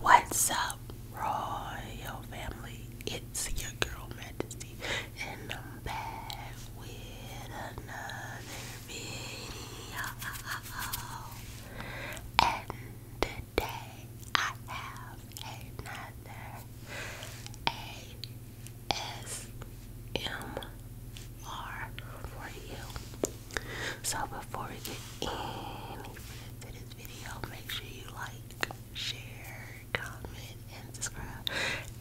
What's up, Royal Family? It's your girl Majesty, and I'm back with another video. And today I have another ASMR for you. So before we get any this video, make sure you like, share, comment, and subscribe.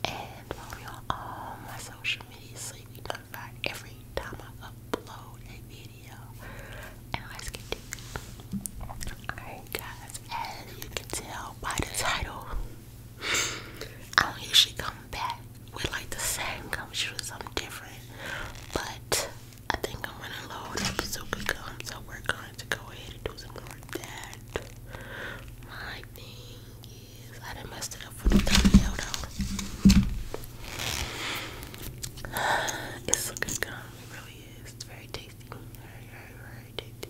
And follow all my social media so you can notified every time I upload a video. And let's get to it. Alright guys, as you can tell by the title, I don't usually come back with like the same gum shoes, something different. But I think I'm running low on bazooka gum, so we're going to go ahead and do some more of that. My thing is, I didn't it up for the thumbnail though. It's gum, really is. very tasty, very, very, very tasty.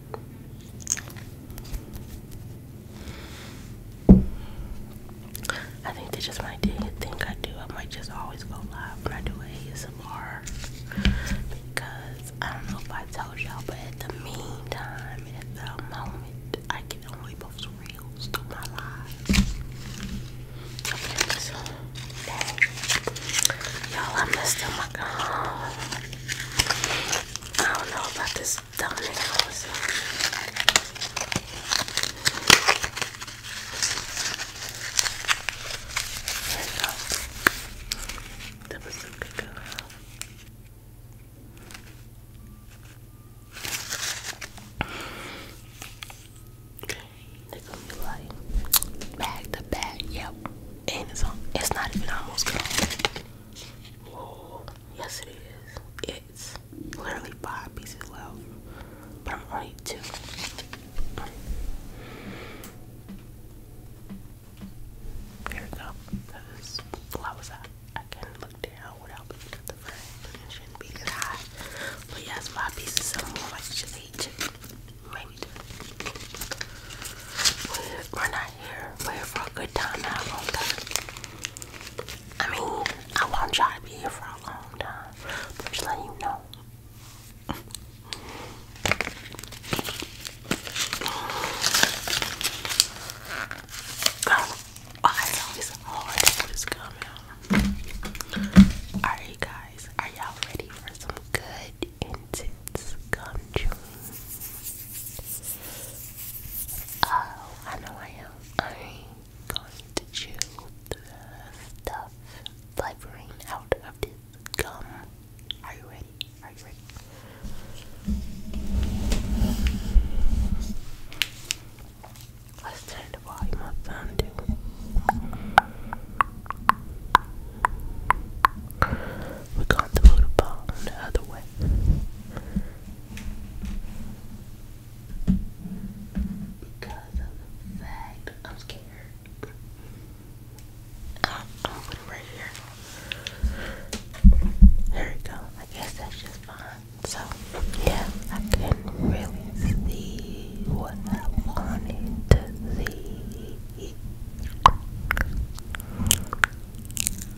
I think that's just my thing. I think I do. I might just always go live when I do ASMR because I don't know if I told y'all, but at the meantime, at the moment, I can only post reels through my live. y'all, I messed up my gum. I don't know about this that was a good Okay, uh, they're gonna be like back to back, yep. And it's on it's not even almost gone. Yes, it is. It's literally five pieces left, but I'm only two. Here we go. Because well, was at, I can look down without the frame. shouldn't be that high. But yes, five pieces. So more like just eight Maybe we are not here. We're for a good time, not a I mean, I want y'all to be here for a long time, just let you know. Girl, oh, it's hard to put this gum guys, are y'all ready for some good intense gum chewing? Oh, I know I am. I'm going to chew the stuff flavouring out of this gum. Are you ready? Are you ready? Let's turn the volume up down too. We're going to put ball the other way. Because of the fact I'm scared. Uh, I'm gonna put it right here. There we go. I guess that's just fine. So, yeah, I could really see what I wanted to see.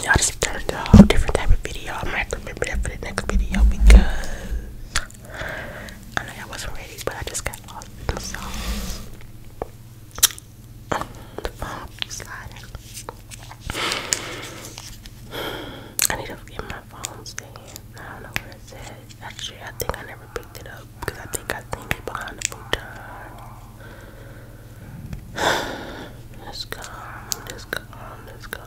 Y'all just turned a whole different type of video. I might remember that for the next video because I know I wasn't ready, but I just got lost in the songs. The phone sliding. I need to get my phone stand. I don't know where it's Actually, I think I never picked it up because I think I think it behind the futon. It's gone. It's gone. It's gone.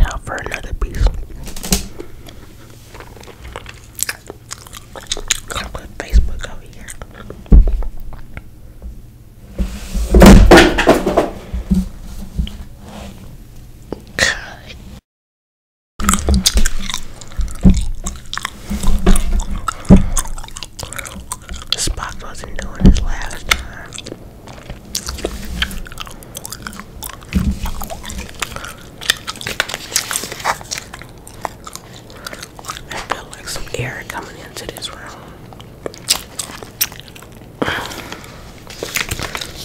Now for another piece. Gotta put Facebook over here. God. Spock wasn't doing this last time. I feel like some air coming into this room.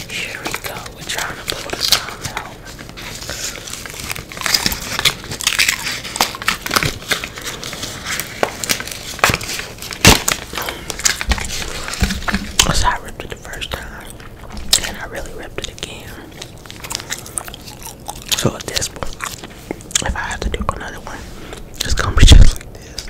Here we go. We're trying to pull this out. So I ripped it the first time, and I really ripped it again. So this point, if I have to do another one, it's gonna be just like this,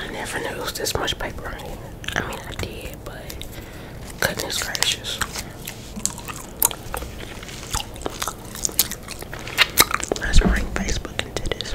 I never knew it was this much paper in it. I mean, I did, but goodness gracious. Let's bring Facebook into this.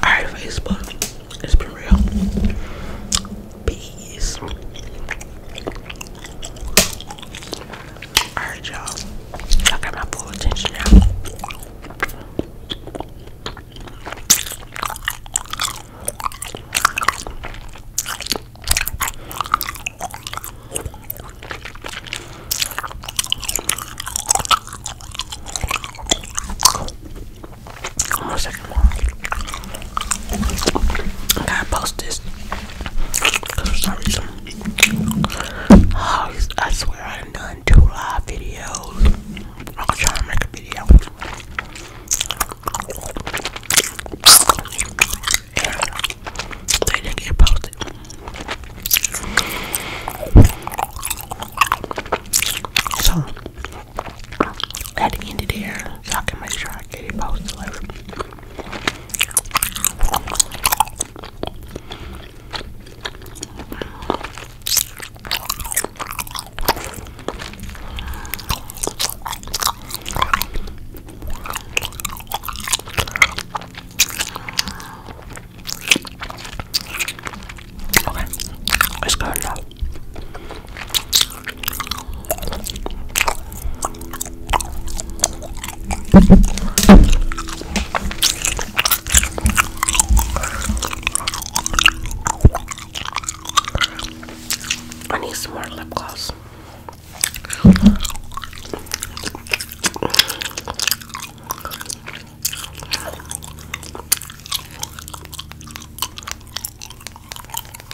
Alright, Facebook, it's been real. Peace. Alright, y'all. you got my full attention now on the second one. I gotta post this. for some reason, I swear I've done two live videos. I'm going to try and make a video. they didn't get posted. So, at the end of the year, so I can make sure I get it posted later. Okay, it's good I need some more lip gloss.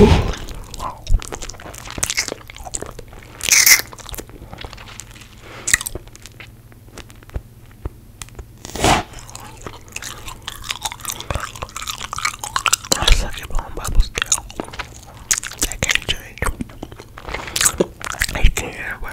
I suck at blowing bubbles still. I can't change. I can't ever.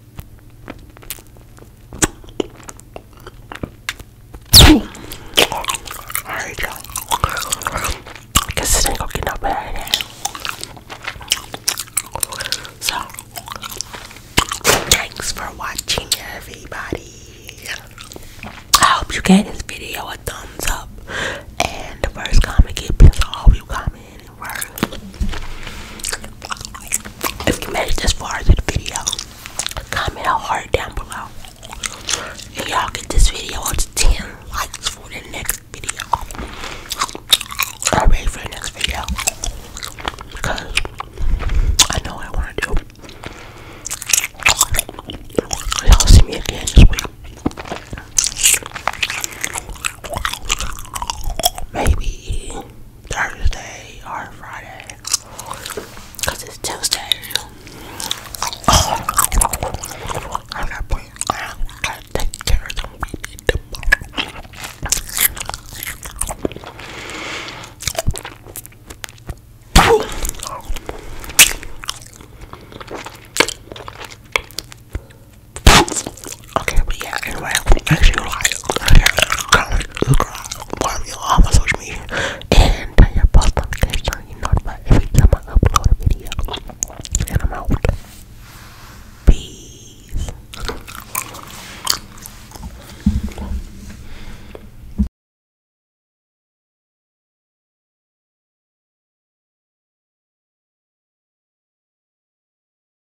Alright, y'all. I guess this So, thanks for watching, everybody. I hope you gave this video a thumbs up. And the first comment gets all of you comment were. If you made it this far into the video, comment a heart down below. And y'all get this video up to 10 likes for the next video. I'm ready for the next video. Because I know what I want to do. Y'all see me again this week. Maybe Thursday or Friday because it's Tuesday. Oh, I gotta put I gotta take care of them baby tomorrow. Okay, but yeah, anyway, make sure you like, comment, subscribe, follow me on my social media, and turn your post notifications on. You notify every time I upload a video. And I'm out. Peace.